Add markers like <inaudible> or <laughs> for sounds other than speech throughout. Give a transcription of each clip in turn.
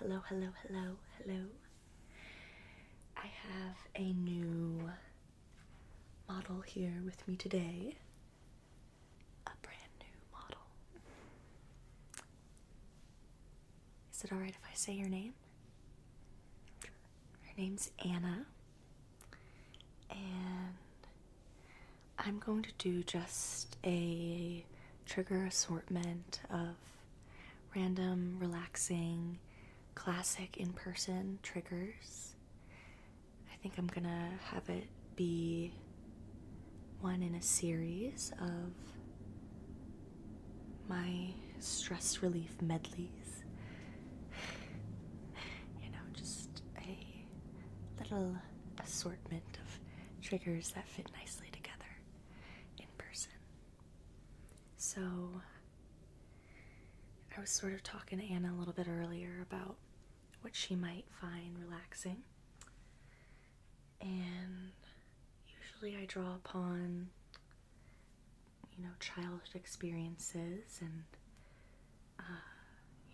hello, hello, hello, hello. I have a new model here with me today. A brand new model. Is it alright if I say your name? Her name's Anna, and I'm going to do just a trigger assortment of random, relaxing, classic in person triggers. I think I'm gonna have it be one in a series of my stress relief medleys. <sighs> You know, just a little assortment of triggers that fit nicely together in person. So I was sort of talking to Anna a little bit earlier about what she might find relaxing. And usually I draw upon you know childhood experiences and uh,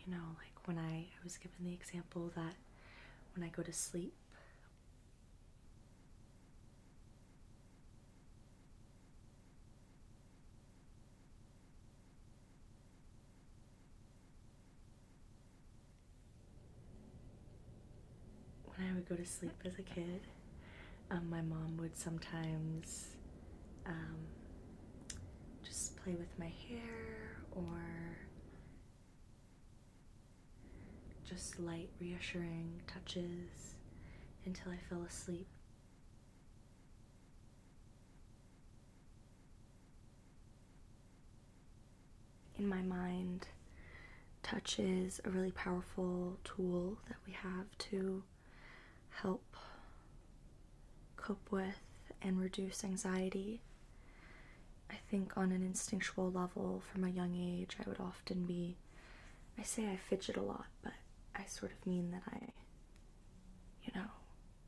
you know like when I, I was given the example that when I go to sleep when I would go to sleep as a kid, um, my mom would sometimes um, just play with my hair or just light, reassuring touches until I fell asleep. In my mind, touches a really powerful tool that we have to help cope with and reduce anxiety. I think on an instinctual level from a young age, I would often be. I say I fidget a lot, but I sort of mean that I, you know,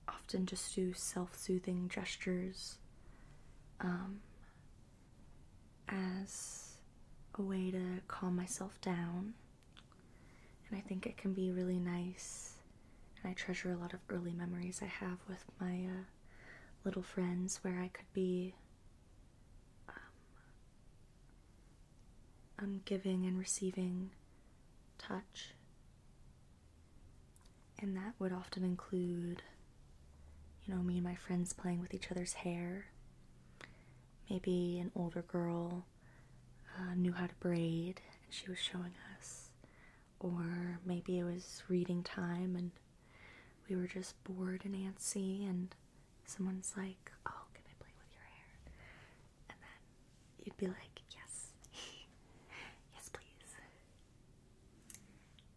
often just do self soothing gestures um, as a way to calm myself down. And I think it can be really nice. And I treasure a lot of early memories I have with my uh, little friends where I could be um, I'm giving and receiving touch, and that would often include, you know, me and my friends playing with each other's hair. Maybe an older girl uh, knew how to braid and she was showing us, or maybe it was reading time and we were just bored and antsy, and someone's like, Oh, can I play with your hair? And then you'd be like, Yes, <laughs> yes, please.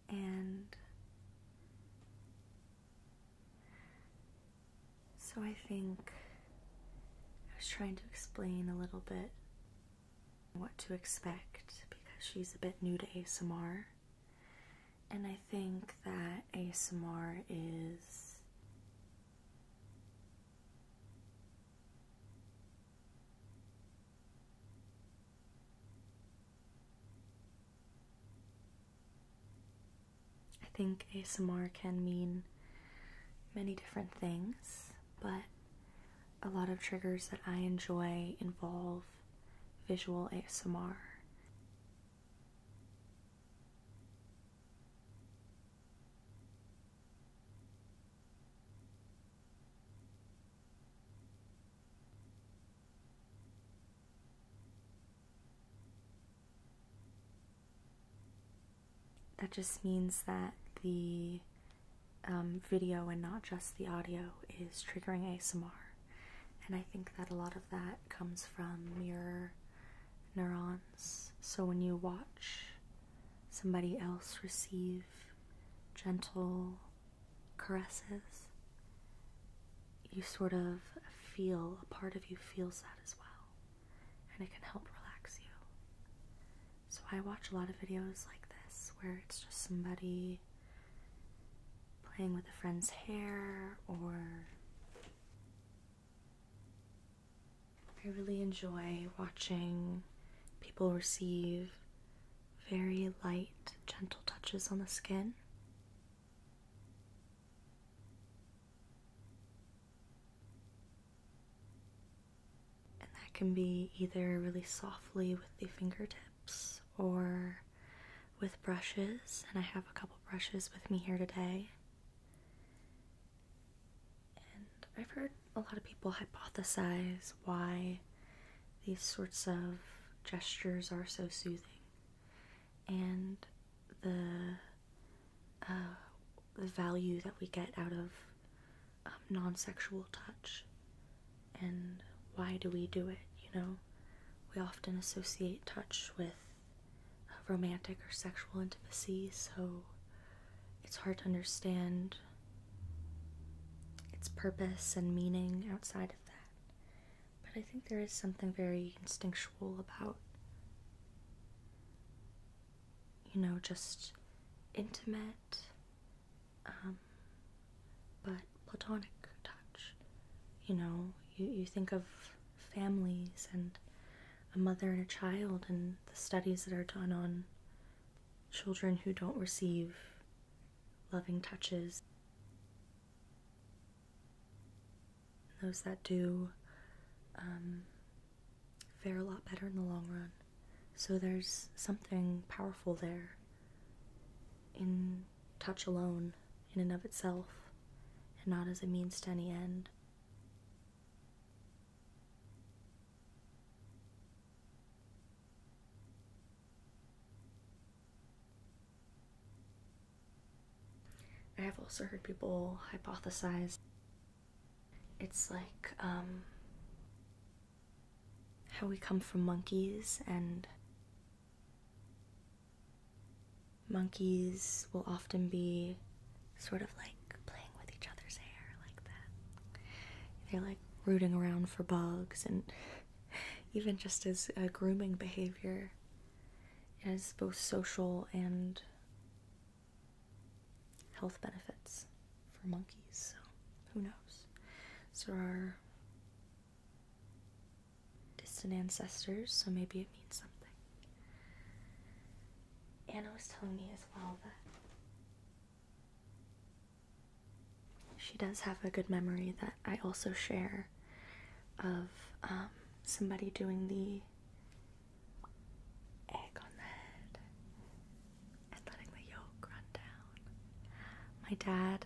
And so I think I was trying to explain a little bit what to expect because she's a bit new to ASMR and I think that ASMR is I think ASMR can mean many different things, but a lot of triggers that I enjoy involve visual ASMR. That just means that the um, video and not just the audio is triggering ASMR and I think that a lot of that comes from mirror neurons. So when you watch somebody else receive gentle caresses, you sort of feel, a part of you feels that as well. And it can help relax you. So I watch a lot of videos like this where it's just somebody playing with a friend's hair, or I really enjoy watching people receive very light, gentle touches on the skin. And that can be either really softly with the fingertips or with brushes, and I have a couple brushes with me here today. And I've heard a lot of people hypothesize why these sorts of gestures are so soothing. And the, uh, the value that we get out of um, non sexual touch and why do we do it, you know? We often associate touch with romantic or sexual intimacy, so it's hard to understand its purpose and meaning outside of that. But I think there is something very instinctual about, you know, just intimate, um, but platonic touch. You know, you, you think of families and a mother and a child, and the studies that are done on children who don't receive loving touches. Those that do um, fare a lot better in the long run. So there's something powerful there in touch alone in and of itself, and not as a means to any end. I have also heard people hypothesize it's like um, how we come from monkeys and Monkeys will often be sort of like playing with each other's hair like that. They're like rooting around for bugs and <laughs> even just as a grooming behavior has both social and health benefits for monkeys. So who knows? So are distant ancestors, so maybe it means something. Anna was telling me as well that she does have a good memory that I also share of um, somebody doing the egg on the head and letting the yolk run down. My dad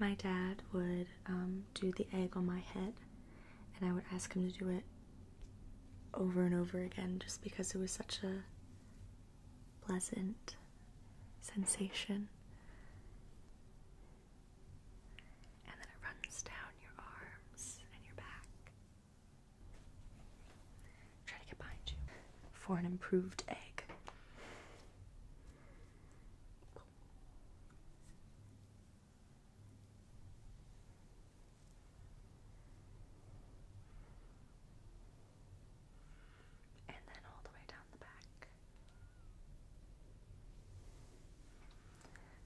my dad would um, do the egg on my head, and I would ask him to do it over and over again just because it was such a pleasant sensation. And then it runs down your arms and your back. Try to get behind you for an improved egg and then all the way down the back.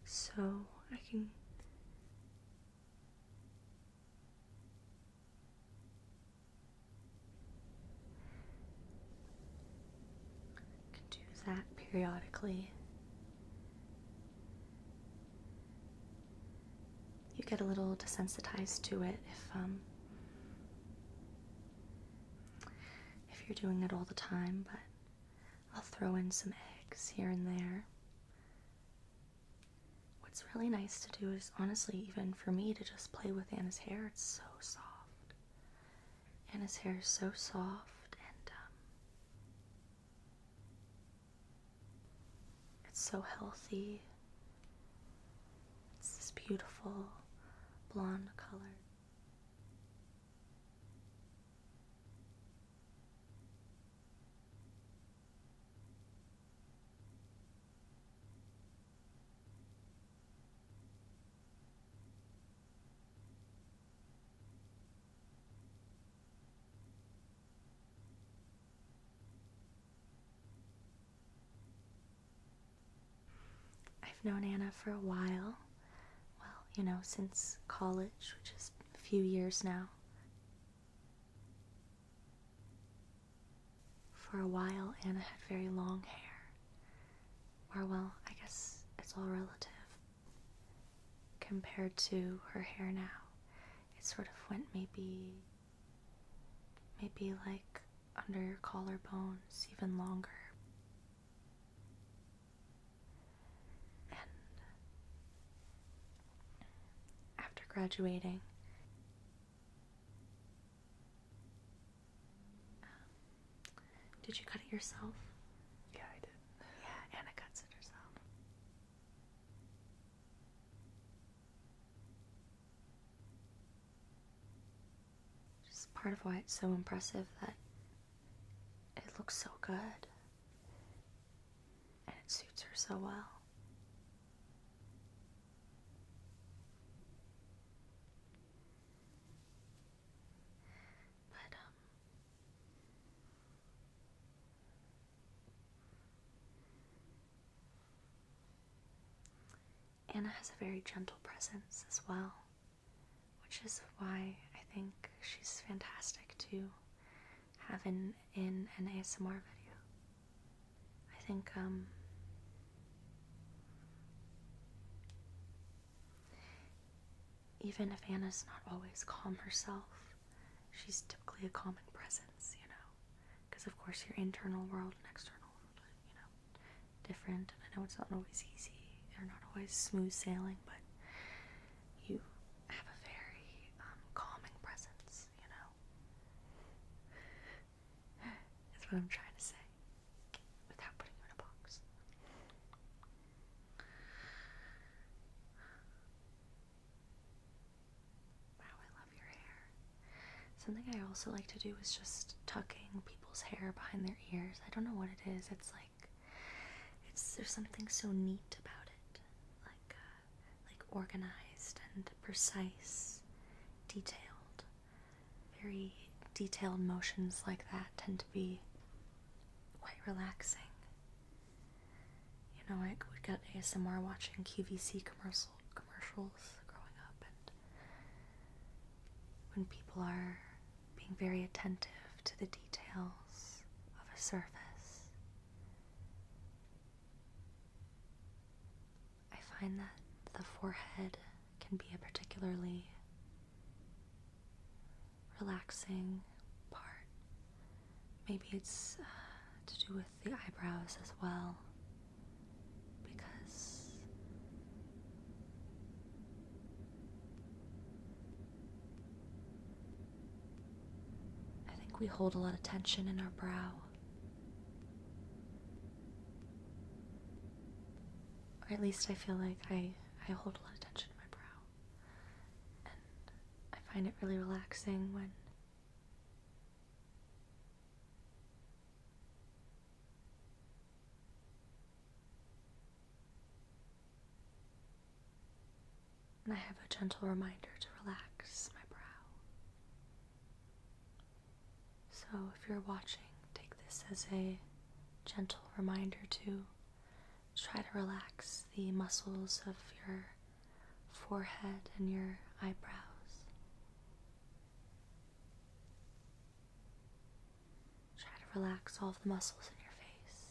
So I can I can do that periodically you get a little desensitized to it if um, if you're doing it all the time, but I'll throw in some eggs here and there. What's really nice to do is honestly, even for me, to just play with Anna's hair. It's so soft. Anna's hair is so soft and um, it's so healthy. It's this beautiful blonde color. I've known Anna for a while. Well, you know, since college, which is a few years now. For a while, Anna had very long hair. Or, well, I guess it's all relative compared to her hair now it sort of went maybe maybe like under your collarbones even longer and after graduating um, did you cut it yourself? Yeah, I did. Yeah, Anna cuts it herself. It's part of why it's so impressive that it looks so good and it suits her so well. But, um, Anna has a very gentle presence as well, which is why I think she's fantastic to have in, an ASMR video. I think, um, even if Anna's not always calm herself, she's typically a calming presence, you know, because of course your internal world and external world, are, you know, different. And I know it's not always easy; they not always smooth sailing, but you have a very um, calming presence, you know. <sighs> That's what I'm trying to say without putting you in a box. Wow, I love your hair. Something I also like to do is just tucking people's hair behind their ears. I don't know what it is. It's like it's there's something so neat about it. Like uh, like organized and precise, detailed. Very detailed motions like that tend to be quite relaxing you know, I would get ASMR watching QVC commercial commercials growing up, and when people are being very attentive to the details of a surface, I find that the forehead can be a particularly relaxing part Maybe it's uh, to do with the eyebrows as well. Because I think we hold a lot of tension in our brow. Or at least I feel like I, I hold a lot of tension in my brow. And I find it really relaxing when and I have a gentle reminder to relax my brow. So if you're watching, take this as a gentle reminder to try to relax the muscles of your forehead and your eyebrows. Try to relax all the muscles in your face,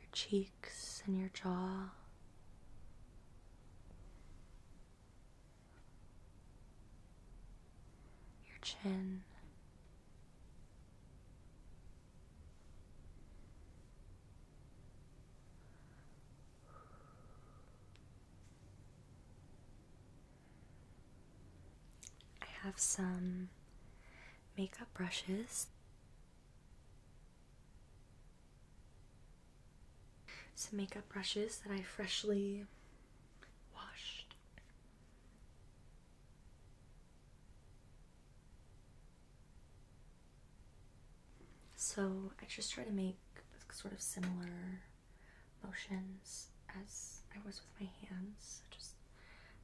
your cheeks, and your jaw. Your chin, I have some makeup brushes. Some makeup brushes that I freshly washed. So I just try to make sort of similar motions as I was with my hands, just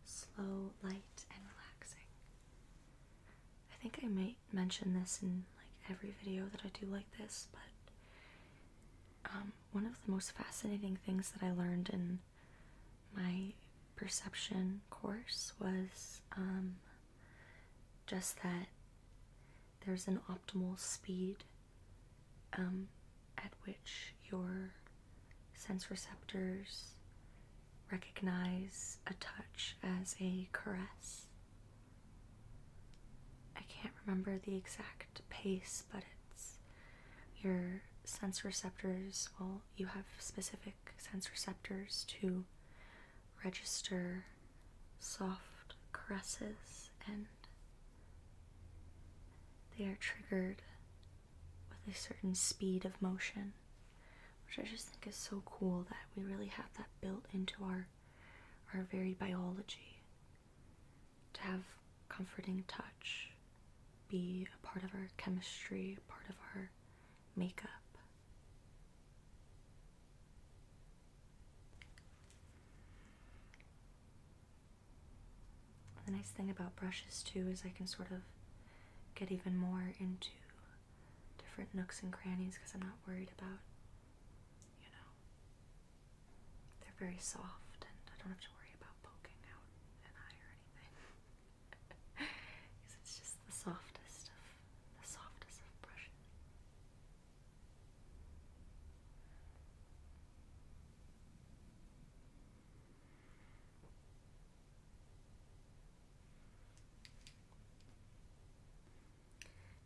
slow, light, and relaxing. I think I might mention this in like every video that I do like this, but um, one of the most fascinating things that I learned in my perception course was um, just that there's an optimal speed um, at which your sense receptors recognize a touch as a caress. I can't remember the exact pace, but it's your sense receptors. Well, you have specific sense receptors to register soft caresses and they are triggered with a certain speed of motion, which I just think is so cool that we really have that built into our our very biology to have comforting touch be a part of our chemistry, a part of our makeup. The nice thing about brushes too is I can sort of get even more into different nooks and crannies because I'm not worried about, you know, they're very soft and I don't have to worry about poking out an eye or anything. Because <laughs> it's just the softest of the softest of brushes.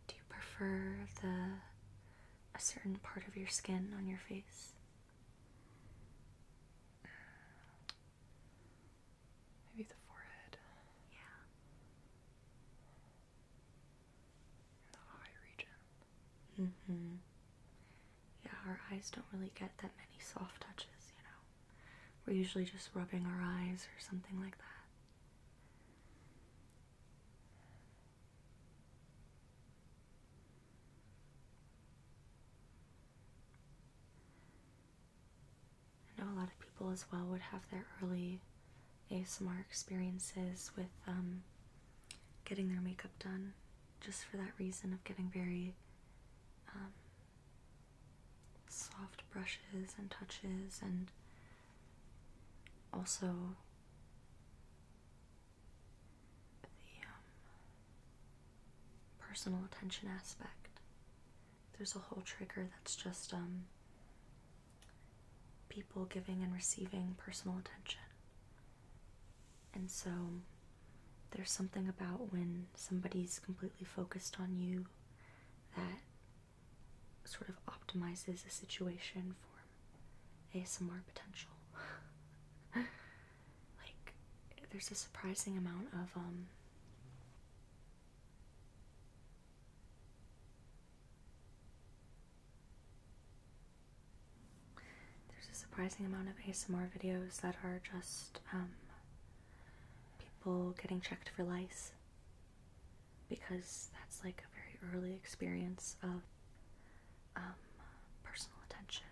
Do you prefer the a certain part of your skin on your face? Maybe the forehead. Yeah. the eye region. Mm-hmm. Yeah, our eyes don't really get that many soft touches, you know. We're usually just rubbing our eyes or something like that. I know a lot of people as well would have their early ASMR experiences with um, getting their makeup done just for that reason of getting very um, soft brushes and touches and also the um, personal attention aspect there's a whole trigger that's just um, people giving and receiving personal attention. And so there's something about when somebody's completely focused on you that sort of optimizes a situation for ASMR potential. <laughs> like there's a surprising amount of um, there's a surprising amount of ASMR videos that are just um, people getting checked for lice because that's like a very early experience of um, personal attention.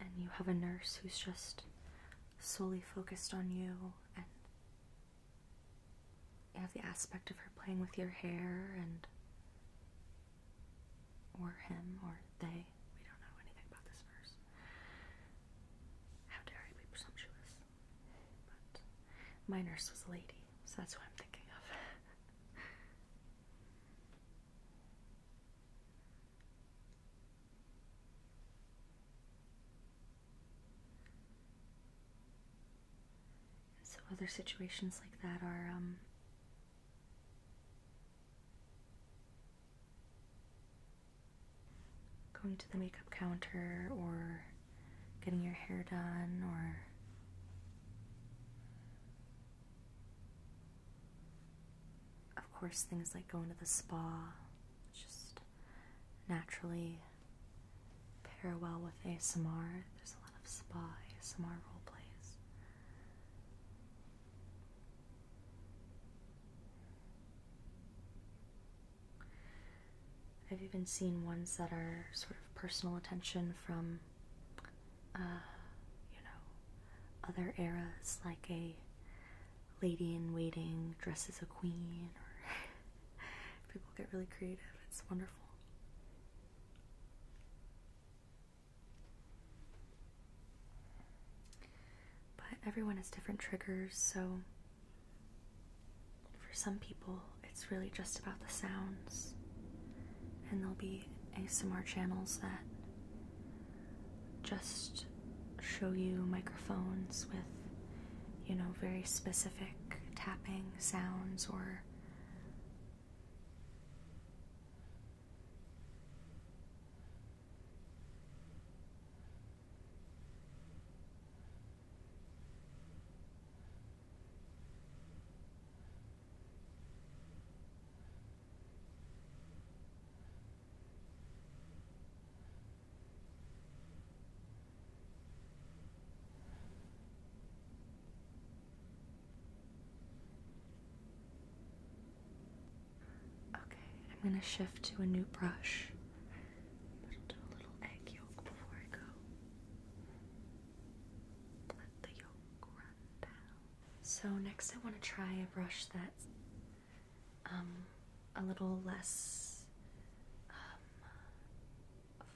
And you have a nurse who's just solely focused on you and you have the aspect of her playing with your hair and. or him or they. We don't know anything about this verse. How dare I be presumptuous? But my nurse was a lady, so that's what I'm thinking of. So other situations like that are um, going to the makeup counter or getting your hair done or of course things like going to the spa just naturally pair well with ASMR. There's a lot of spa ASMR role plays. I've even seen ones that are sort of personal attention from, uh, you know, other eras like a lady in waiting dresses a queen or <laughs> people get really creative. It's wonderful. But everyone has different triggers, so for some people, it's really just about the sounds. And there'll be ASMR channels that just show you microphones with, you know, very specific tapping sounds or Okay, I'm going to shift to a new brush. But I'll do a little egg yolk before I go. Let the yolk run down. So, next I want to try a brush that. Um, a little less um,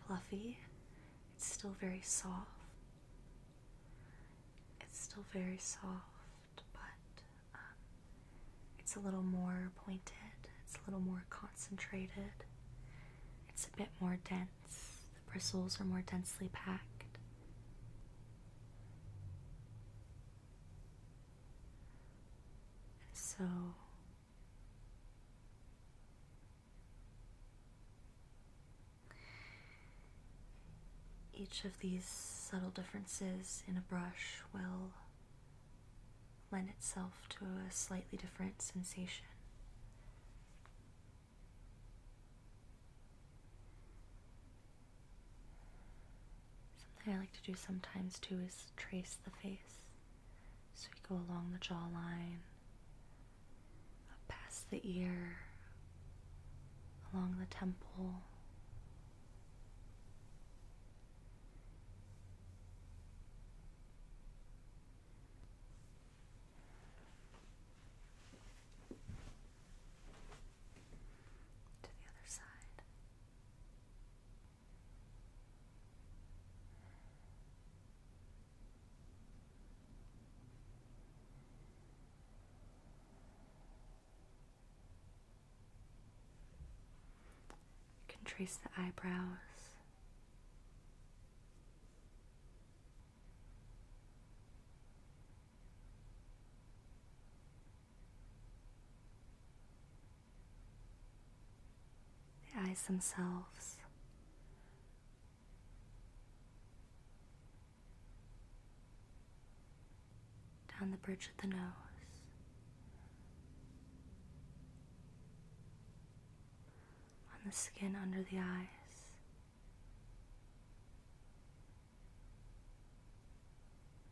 fluffy. It's still very soft. It's still very soft, but um, it's a little more pointed, it's a little more concentrated, it's a bit more dense. The bristles are more densely packed. So each of these subtle differences in a brush will lend itself to a slightly different sensation. Something I like to do sometimes too is trace the face. So we go along the jawline, past the ear, along the temple. To the other side. You can trace the eyebrows. The eyes themselves. Down the bridge of the nose. On the skin under the eyes.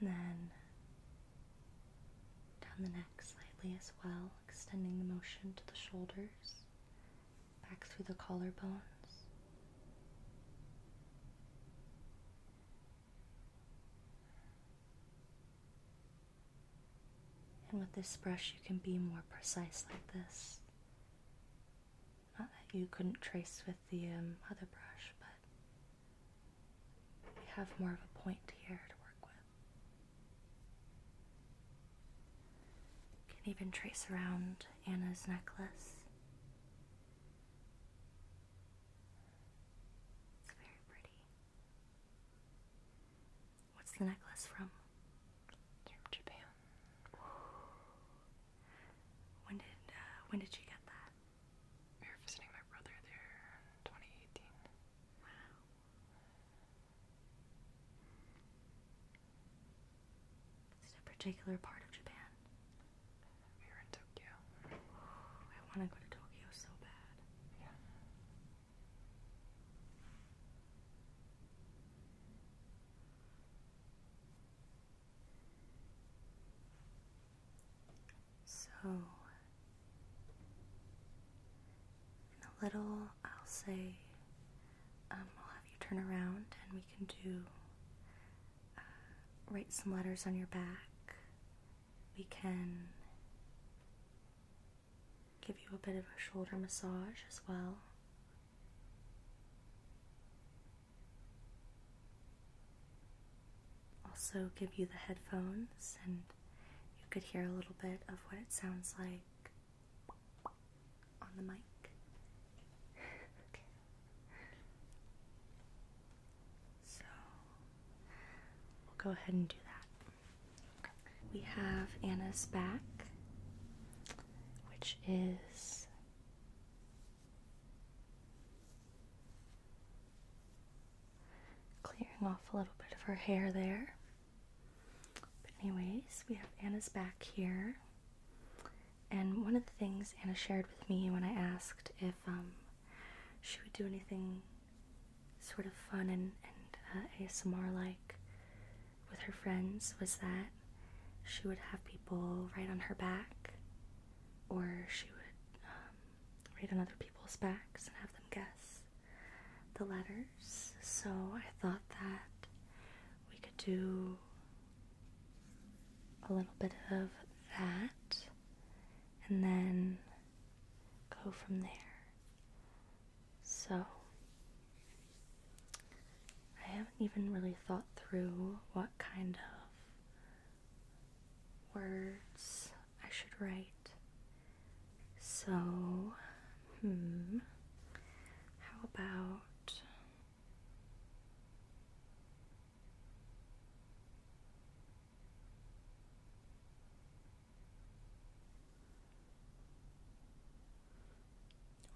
And then down the neck slightly as well, extending the motion to the shoulders, back through the collarbones. And with this brush, you can be more precise like this. Not that you couldn't trace with the um, other brush, but you have more of a point here to work with. can even trace around Anna's necklace. It's very pretty. What's the necklace from? From Japan. When did uh, when did you get that? We were visiting my brother there in 2018. Wow. Is it particular part of Japan? We were in Tokyo. I want to go to Tokyo so bad. Yeah. So, a little, I'll say, um, I'll have you turn around and we can do, uh, write some letters on your back, we can give you a bit of a shoulder massage as well. Also, give you the headphones, and you could hear a little bit of what it sounds like on the mic. <laughs> So we'll go ahead and do that. We have Anna's back, which is clearing off a little bit of her hair there. But, anyways, we have Anna's back here. And one of the things Anna shared with me when I asked if um, she would do anything sort of fun and, and uh, ASMR like with her friends was that she would have people write on her back or she would um, write on other people's backs and have them guess the letters. So I thought that we could do a little bit of that and then go from there. So, I haven't even really thought through what kind of words I should write. So, hmm, how about.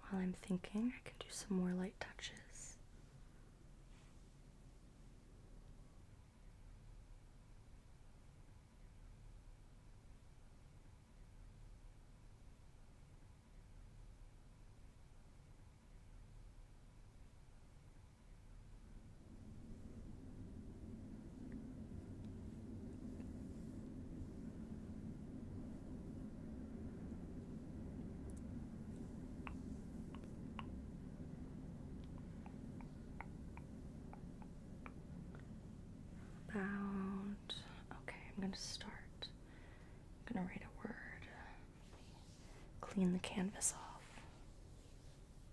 While I'm thinking, I can do some more light touches. About okay, I'm gonna start. I'm gonna write a word. Clean the canvas off.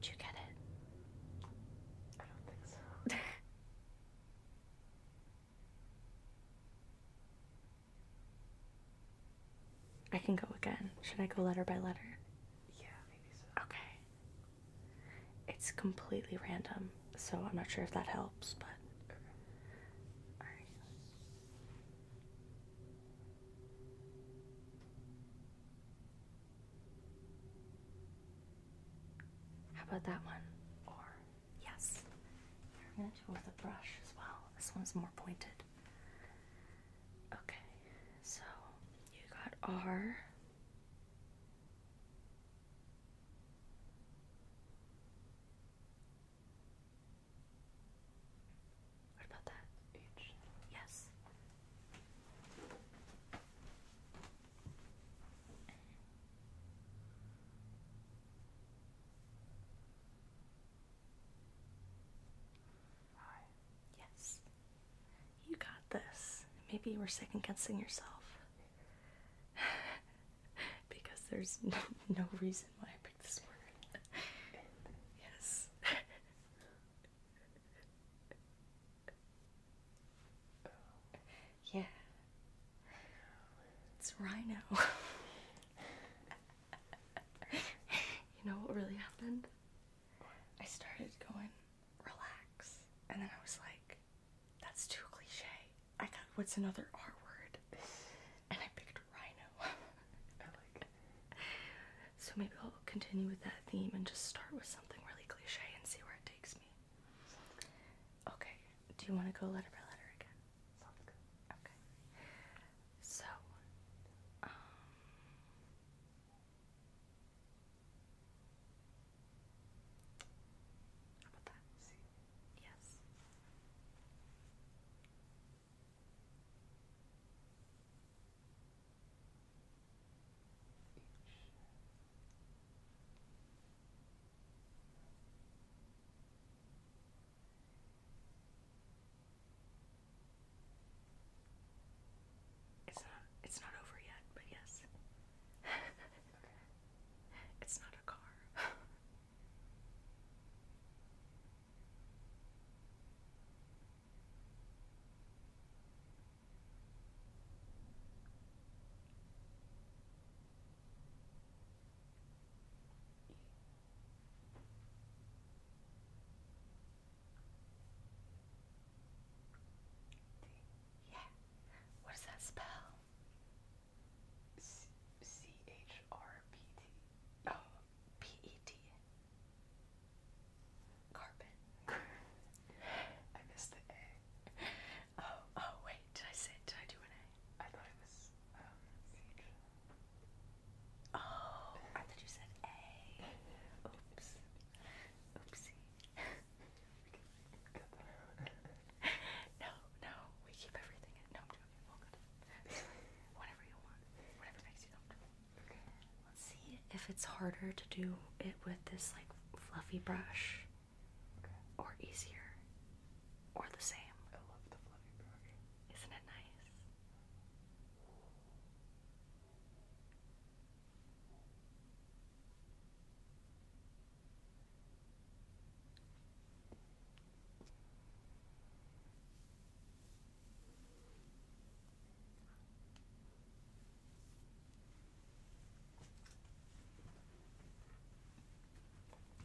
Did you get it? I don't think so. <laughs> I can go again. Should I go letter by letter? Yeah, maybe Okay. It's completely random, so I'm not sure if that helps, but. How about that one? Or, yes. I'm going to do with a brush as well. This one's more pointed. Okay, so you got R. What about that? Yes. Yes. You got this. Maybe you were second guessing yourself. <laughs> because there's <laughs> no reason why I picked this word. <laughs> yes. Yeah. It's Rhino. <laughs> you know what really happened? I started going relax, and then I was like, that's too cliche. I got what's another R word? And I picked Rhino. <laughs> So maybe I'll continue with that theme and just start with something really cliche and see where it takes me. Okay. Do you want to go letter by letter again? Sounds good. Okay. So, um, how about that? Yes. It's not it's not over yet, but yes. <laughs> It's not a car. <laughs> Yeah. What does that spell? C H R P T. Oh, P E T. Carpet. I missed the A. Oh, oh wait, did I say did I do an A? I thought it was H. Um, oh, I thought you said A. Oops. Oopsie. no, no, we keep everything No, I'm joking. <laughs> Whatever you want. Whatever makes you comfortable. Let's see if it's harder to do it with this like fluffy brush or easier or the same. I love the fluffy brush. Isn't it nice?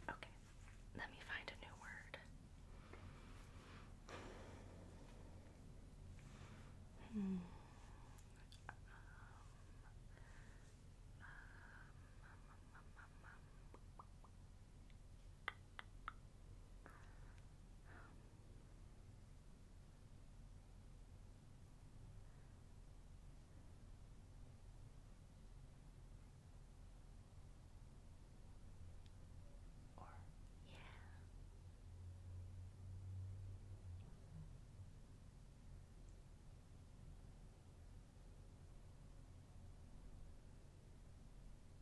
Okay, let me find a new word. Hmm. Um, um, um, um, um, um. Or, yeah.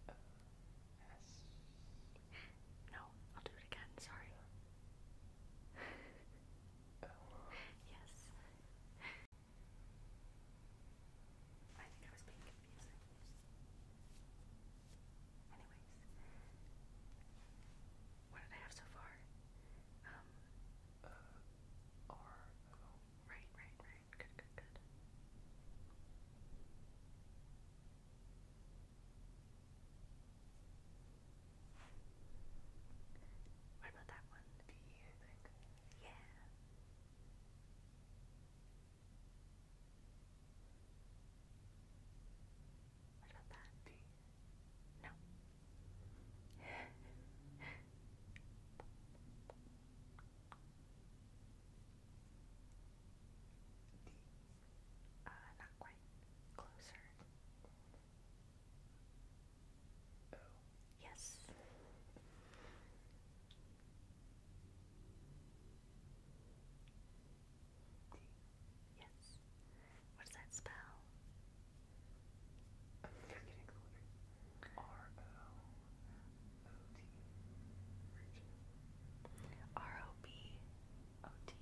S. No, I'll do it again. Sorry. Yes. I think I was being confusing. Anyways, what did I have so far? Um. Uh. Right, right, right. Good, good, good. What about that one? Do you think? Yeah. What about that? Do you? No. <laughs> Uh, not quite. Closer. Oh. Yes. D. Yes. What does that spell? R O O-T. R-O-B-O-T.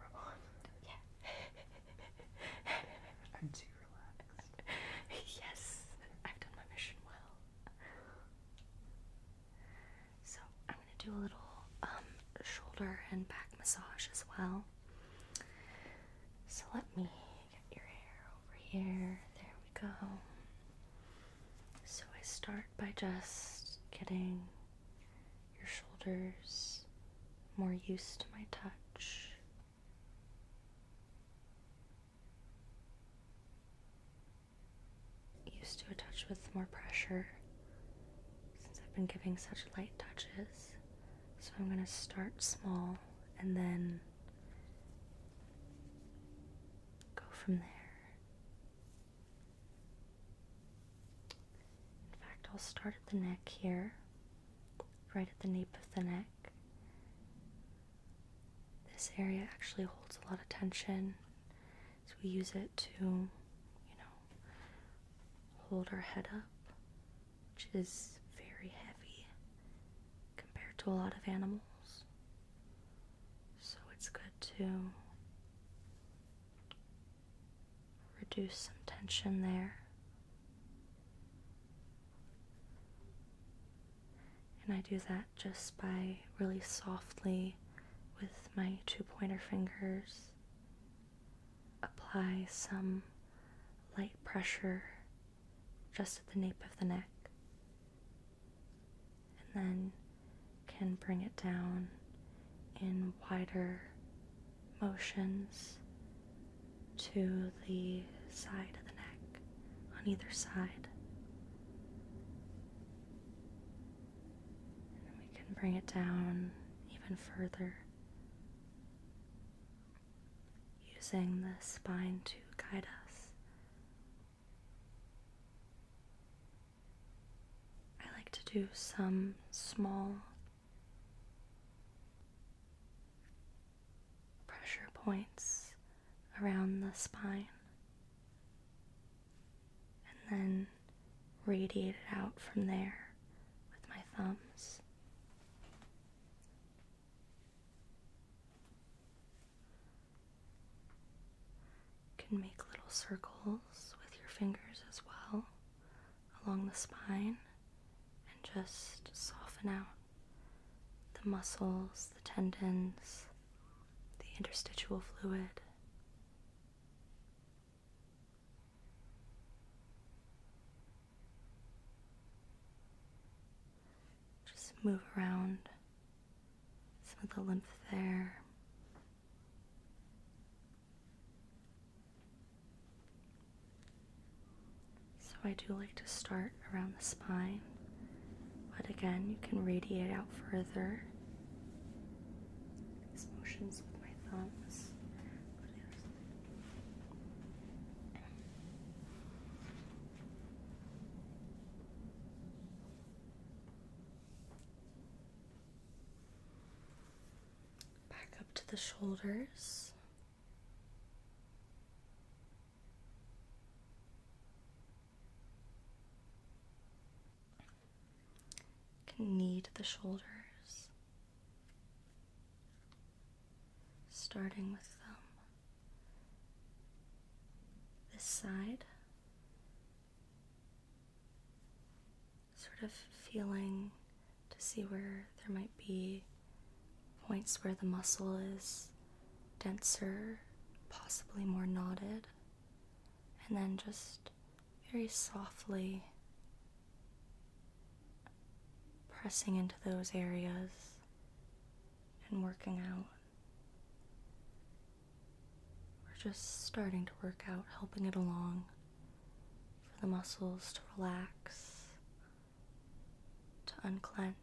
Robot. Yeah. <laughs> I'm too relaxed. yes, I've done my mission well. So I'm gonna do a little um, shoulder and back massage as well. So let me get your hair over here. There we go. So I start by just getting your shoulders more used to my touch. Used to a touch with more pressure since I've been giving such light touches. So I'm going to start small and then go from there. In fact, I'll start at the neck here, right at the nape of the neck. This area actually holds a lot of tension, so we use it to, you know, hold our head up, which is very heavy compared to a lot of animals. So it's good to reduce some tension there. And I do that just by really softly with my two pointer fingers apply some light pressure just at the nape of the neck and then can bring it down in wider motions to the side of the neck on either side. we can bring it down even further using the spine to guide us. I like to do some small pressure points around the spine and then radiate it out from there with my thumbs can make little circles with your fingers as well along the spine and just soften out the muscles, the tendons, the interstitial fluid. Just move around some of the lymph there. So I do like to start around the spine, but again, you can radiate out further. These motions with my thumbs. Back up to the shoulders. Can knead the shoulders, starting with them. This side, Sort of feeling to see where there might be points where the muscle is denser, possibly more knotted, and then just very softly pressing into those areas and working out we're just starting to work out, helping it along for the muscles to relax, to unclench,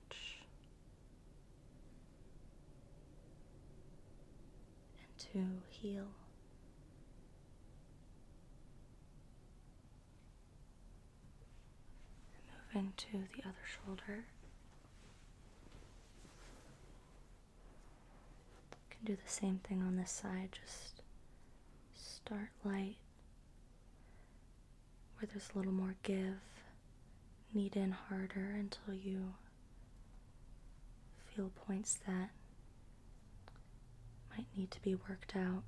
and to heal. Move into the other shoulder can do the same thing on this side, just start light where there's a little more give, knead in harder until you feel points that might need to be worked out.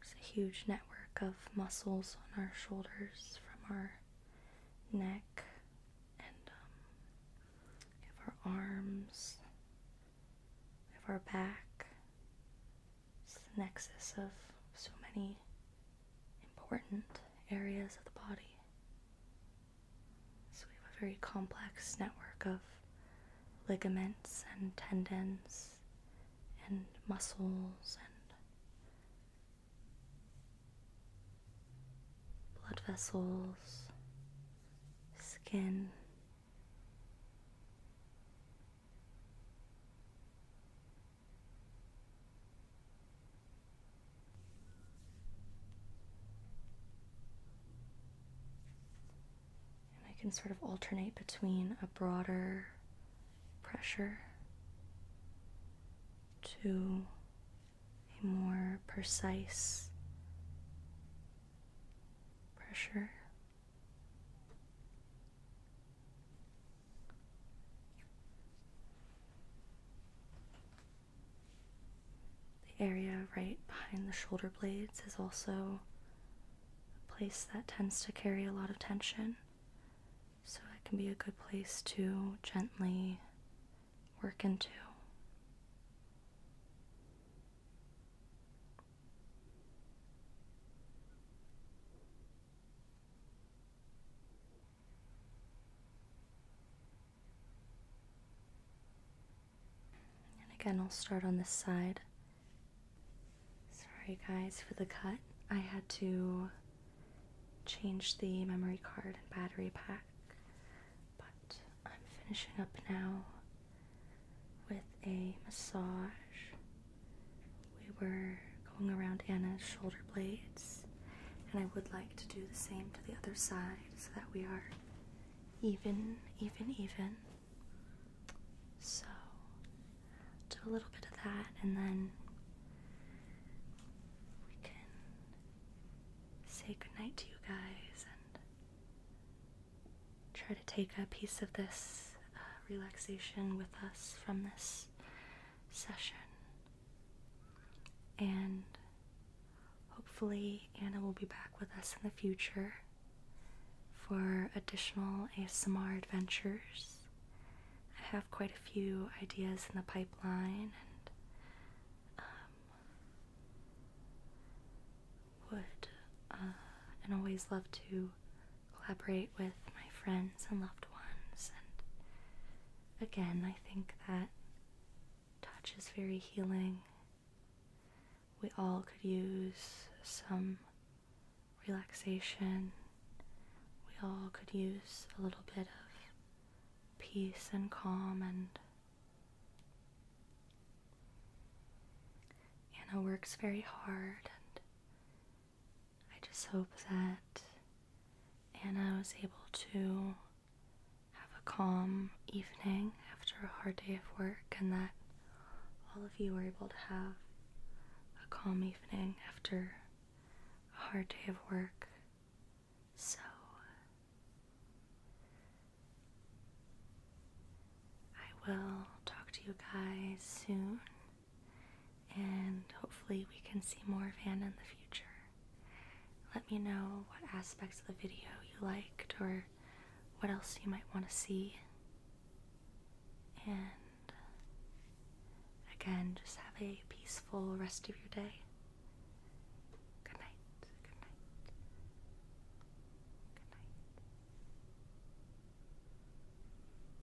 There's a huge network of muscles on our shoulders from our neck and um, have our arms, we have our back, it's the nexus of so many important areas of the body. So we have a very complex network of ligaments and tendons and muscles and blood vessels, skin. And I can sort of alternate between a broader pressure to a more precise pressure. The area right behind the shoulder blades is also a place that tends to carry a lot of tension, so it can be a good place to gently work into. And again, I'll start on this side. Sorry, guys, for the cut. I had to change the memory card and battery pack, but I'm finishing up now with a massage we were going around Anna's shoulder blades, and I would like to do the same to the other side so that we are even, even, even. So, do a little bit of that, and then we can say goodnight to you guys and try to take a piece of this uh, relaxation with us from this session. And hopefully, Anna will be back with us in the future for additional ASMR adventures. I have quite a few ideas in the pipeline and um, would uh, and always love to collaborate with my friends and loved ones. And again, I think that touch is very healing. We all could use some relaxation. We all could use a little bit of peace and calm and Anna works very hard and I just hope that Anna was able to have a calm evening after a hard day of work and that all of you were able to have a calm evening after a hard day of work. So, I will talk to you guys soon and hopefully we can see more of Hannah in the future. Let me know what aspects of the video you liked or what else you might want to see. And again, just have a peaceful rest of your day. Good night. Good night. Good night.